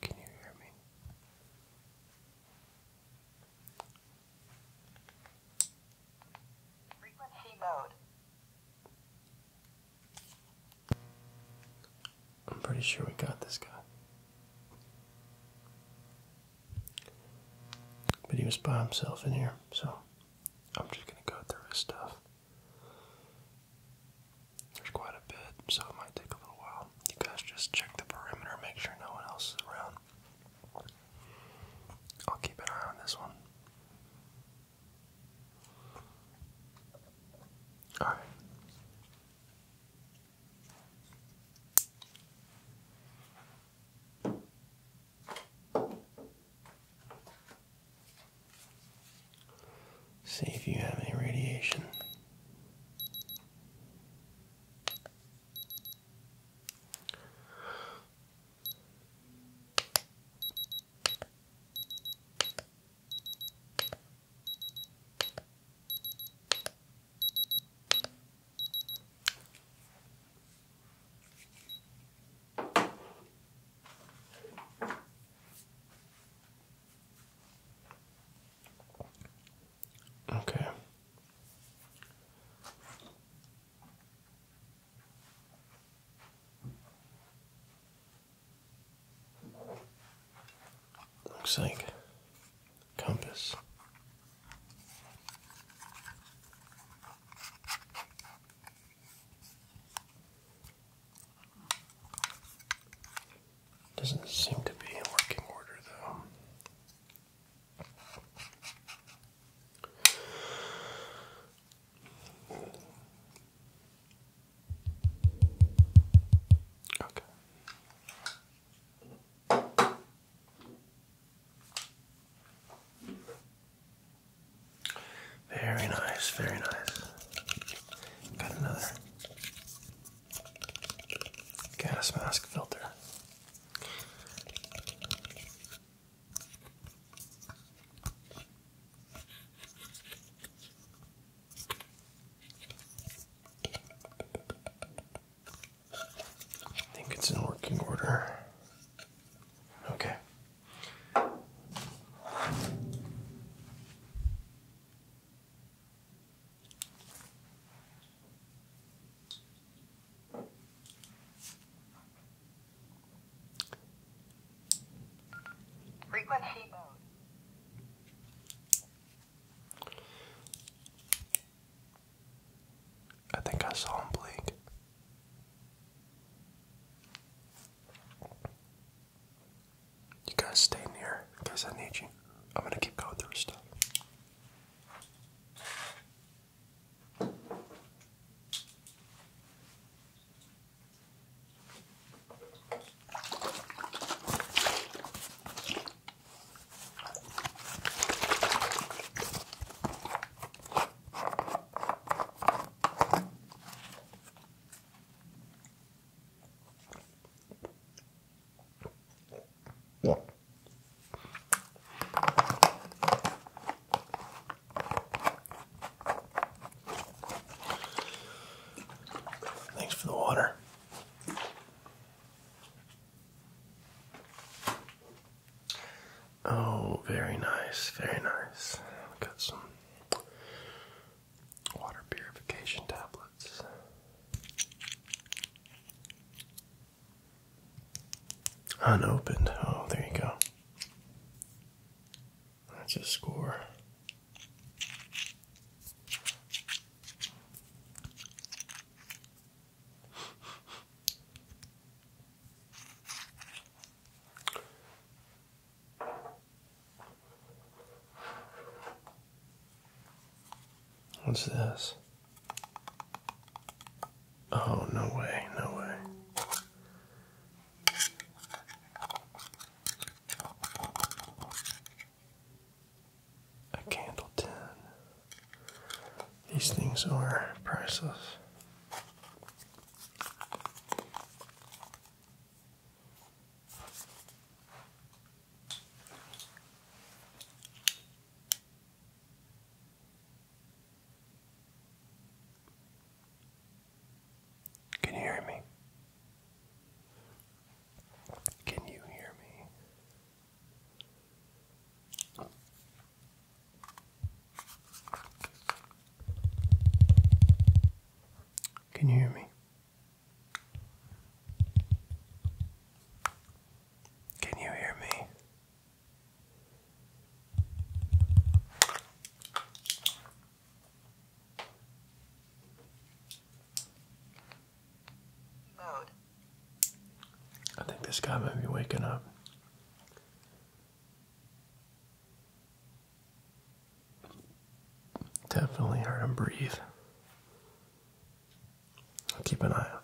Can you hear me? Frequency mode. I'm pretty sure we got this guy. But he was by himself in here, so I'm just gonna go through his stuff. There's quite a bit, so it might take a little while. You guys just check the perimeter, make sure no one else is around. I'll keep an eye on this one. Alright. See if you have any radiation. Okay. Looks like compass. Doesn't seem to be in working order, though. Okay. Very nice, very nice. Got another gas mask filter. I think it's in working order. Okay. Frequency mode. I think I saw him blink. You guys stay near in case I need you. I'm gonna keep going through stuff. Thanks for the water. Oh, very nice, very nice. Got some water purification tablets. Unopened. Oh, there you go. That's a score. What's this? Oh, no way, no way a candle tin. These things are priceless. Can you hear me? Can you hear me? Can you hear me? Can you hear me? I think this guy might be waking up. Definitely heard him breathe. keep an eye out.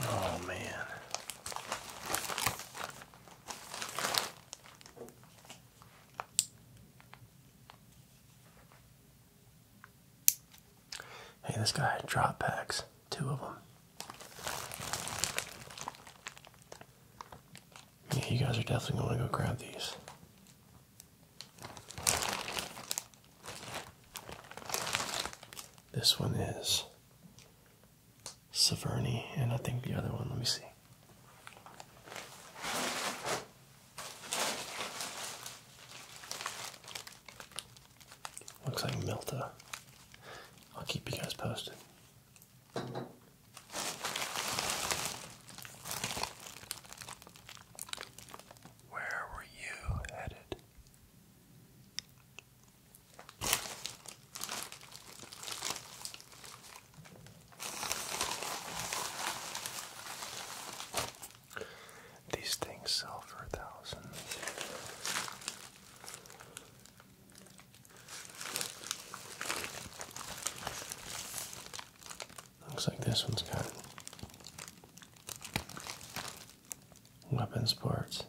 Oh man. Hey, this guy drop packs, two of them. you guys are definitely going to go grab these. This one is Saverni, and I think the other one, let me see. Looks like Milta. I'll keep you guys posted. Where were you headed? These things sell for thousands. Looks like this one's gone weapons parts.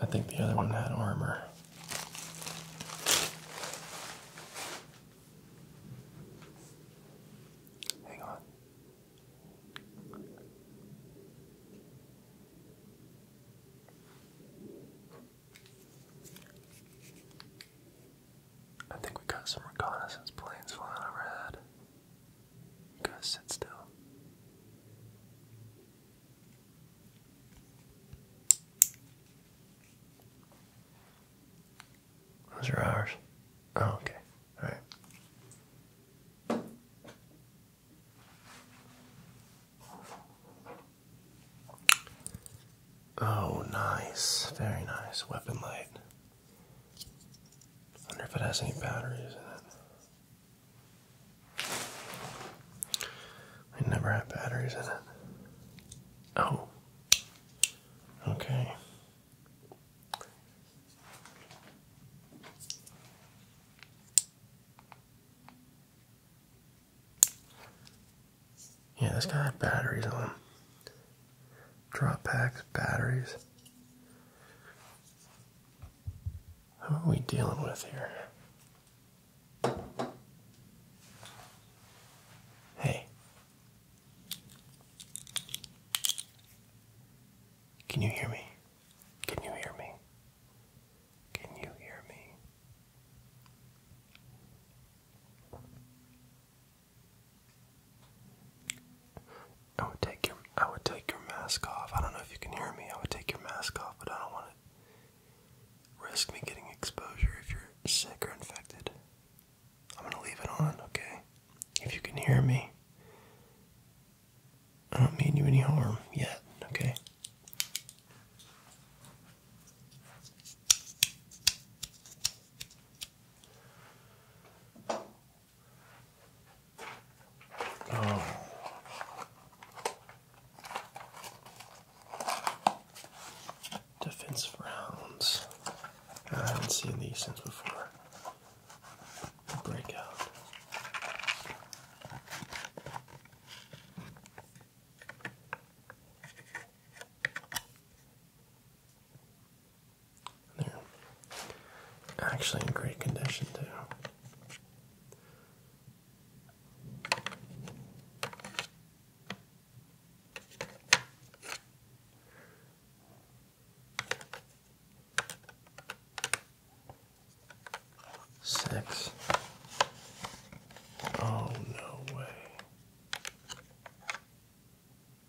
I think the other one had armor. Hang on. I think we got some reconnaissance planes flying overhead. You got sit still. Those are ours. Oh, okay. All right. Oh, nice. Very nice. Weapon light wonder if it has any batteries in it. I never had batteries in it. Oh. Okay. Yeah, this guy had batteries on him drop packs, batteries. What are we dealing with here? Hey. Can you hear me? Can you hear me? Can you hear me? I would take your I would take your mask off. I don't know if you can hear me. I would take your mask off, but I don't want to risk me getting exposure if you're sick or infected. I'm gonna leave it on, okay? If you can hear me. I don't mean you any harm yet, okay? Oh. rounds. I haven't seen these since before. Breakout. They're actually in great condition, too. Six. Oh, no way.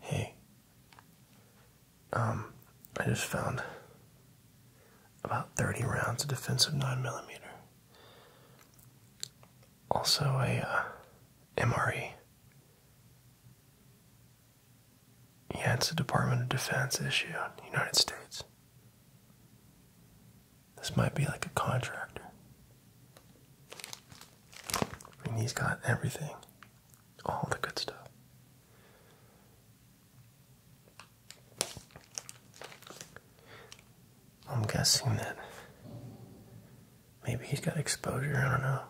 Hey, um, I just found about 30 rounds of defensive 9mm. Also, a uh, MRE. Yeah, it's a Department of Defense issue in the United States. This might be like a contractor. I mean, he's got everything, all the good stuff. I'm guessing that maybe he's got exposure. I don't know.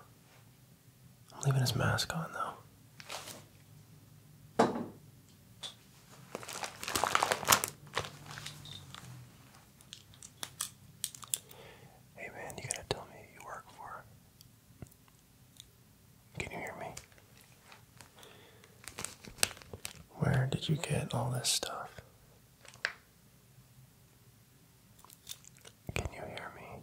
I'm leaving his mask on though. Hey man, you gotta tell me who you work for. Can you hear me? Where did you get all this stuff? Can you hear me?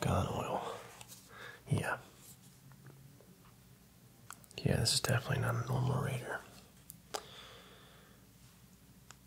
God oil. Yeah. Yeah, this is definitely not a normal reader.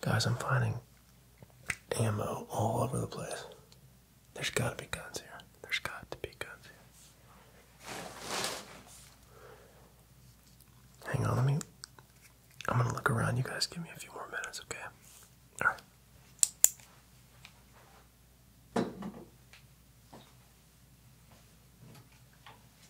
Guys, I'm finding ammo all over the place. There's gotta be guns here. There's got to be guns here. Hang on, let me. I'm gonna look around. You guys give me a few more minutes, okay? Alright.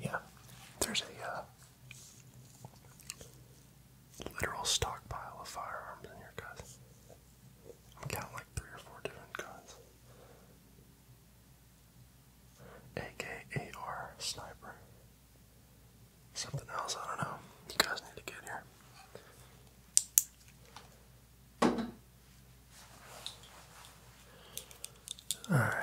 Yeah, there's a uh, literal stockpile of firearms in here, guys. I'm counting like three or four different guns. AKAR sniper. Something else, I don't know. You guys need to get here. All right.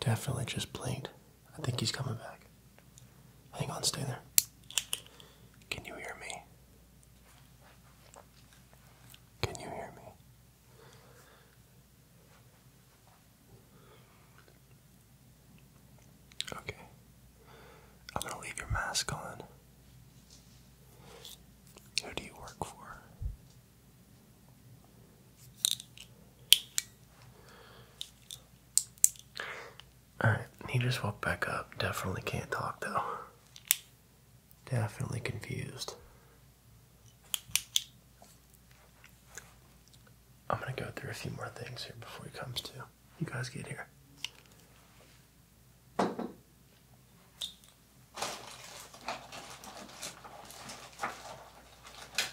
Definitely just played I think he's coming back. Hang on, stay there. Can you hear me? Can you hear me? Okay. I'm gonna leave your mask on. Who do you work for? Alright, he just woke back up. Definitely can't talk though. Definitely confused. I'm gonna go through a few more things here before he comes to. You guys get here.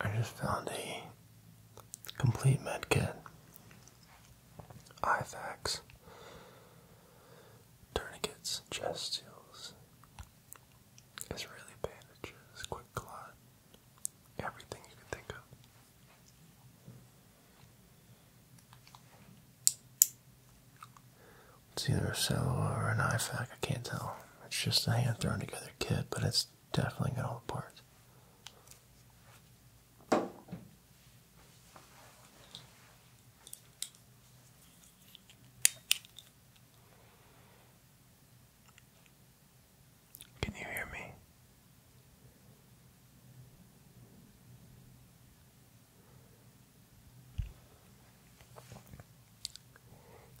I just found a complete med kit. IFAX, tourniquets, chest seals, Israeli bandages, quick clot, Everything you can think of. It's either a cello or an IFAC, I can't tell. It's just a hand thrown together kit, but it's definitely got all the parts. Can you hear me?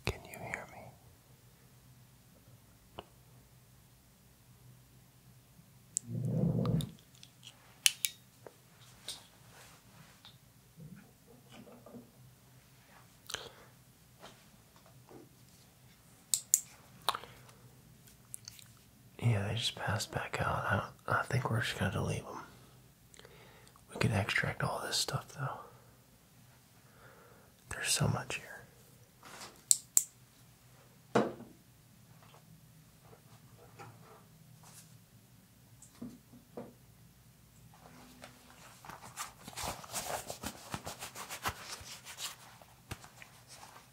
Can you hear me? Yeah, they just passed back out. I, think we're just going to delete them. We can extract all this stuff, though. There's so much here.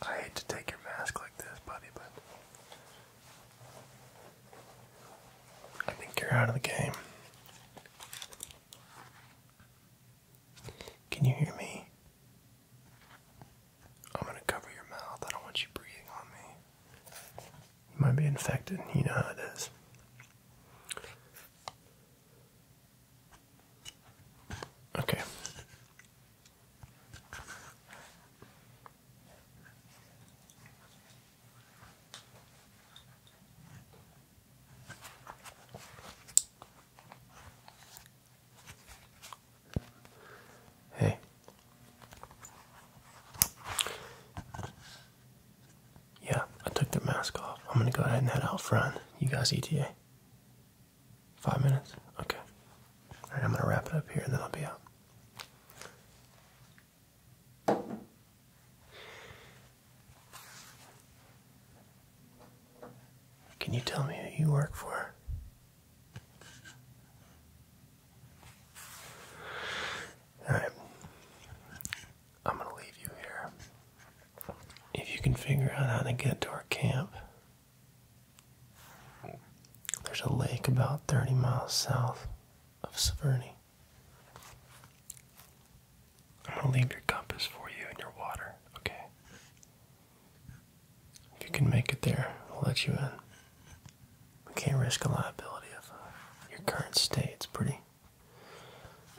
I hate to take your mask like this, buddy, but I think you're out of the game. Can you hear me? I'm going to cover your mouth. I don't want you breathing on me. You might be infected. You know how it is. Okay. Hey. Yeah, I took the mask off. I'm gonna go ahead and head out front. You guys ETA. Five minutes? Okay. Alright, I'm gonna wrap it up here and then I'll be out. Can you tell me who you work for? Alright. I'm going to leave you here. If you can figure out how to get to our camp, there's a lake about 30 miles south of Severny. I'm going to leave your compass for you and your water, okay? If you can make it there, I'll let you in. We can't risk a liability of uh, your current state. It's pretty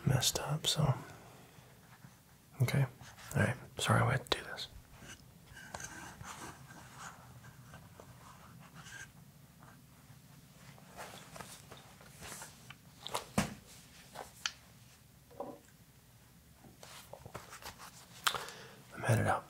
messed up, so. Okay. Alright. Sorry I had to do this. I'm headed out.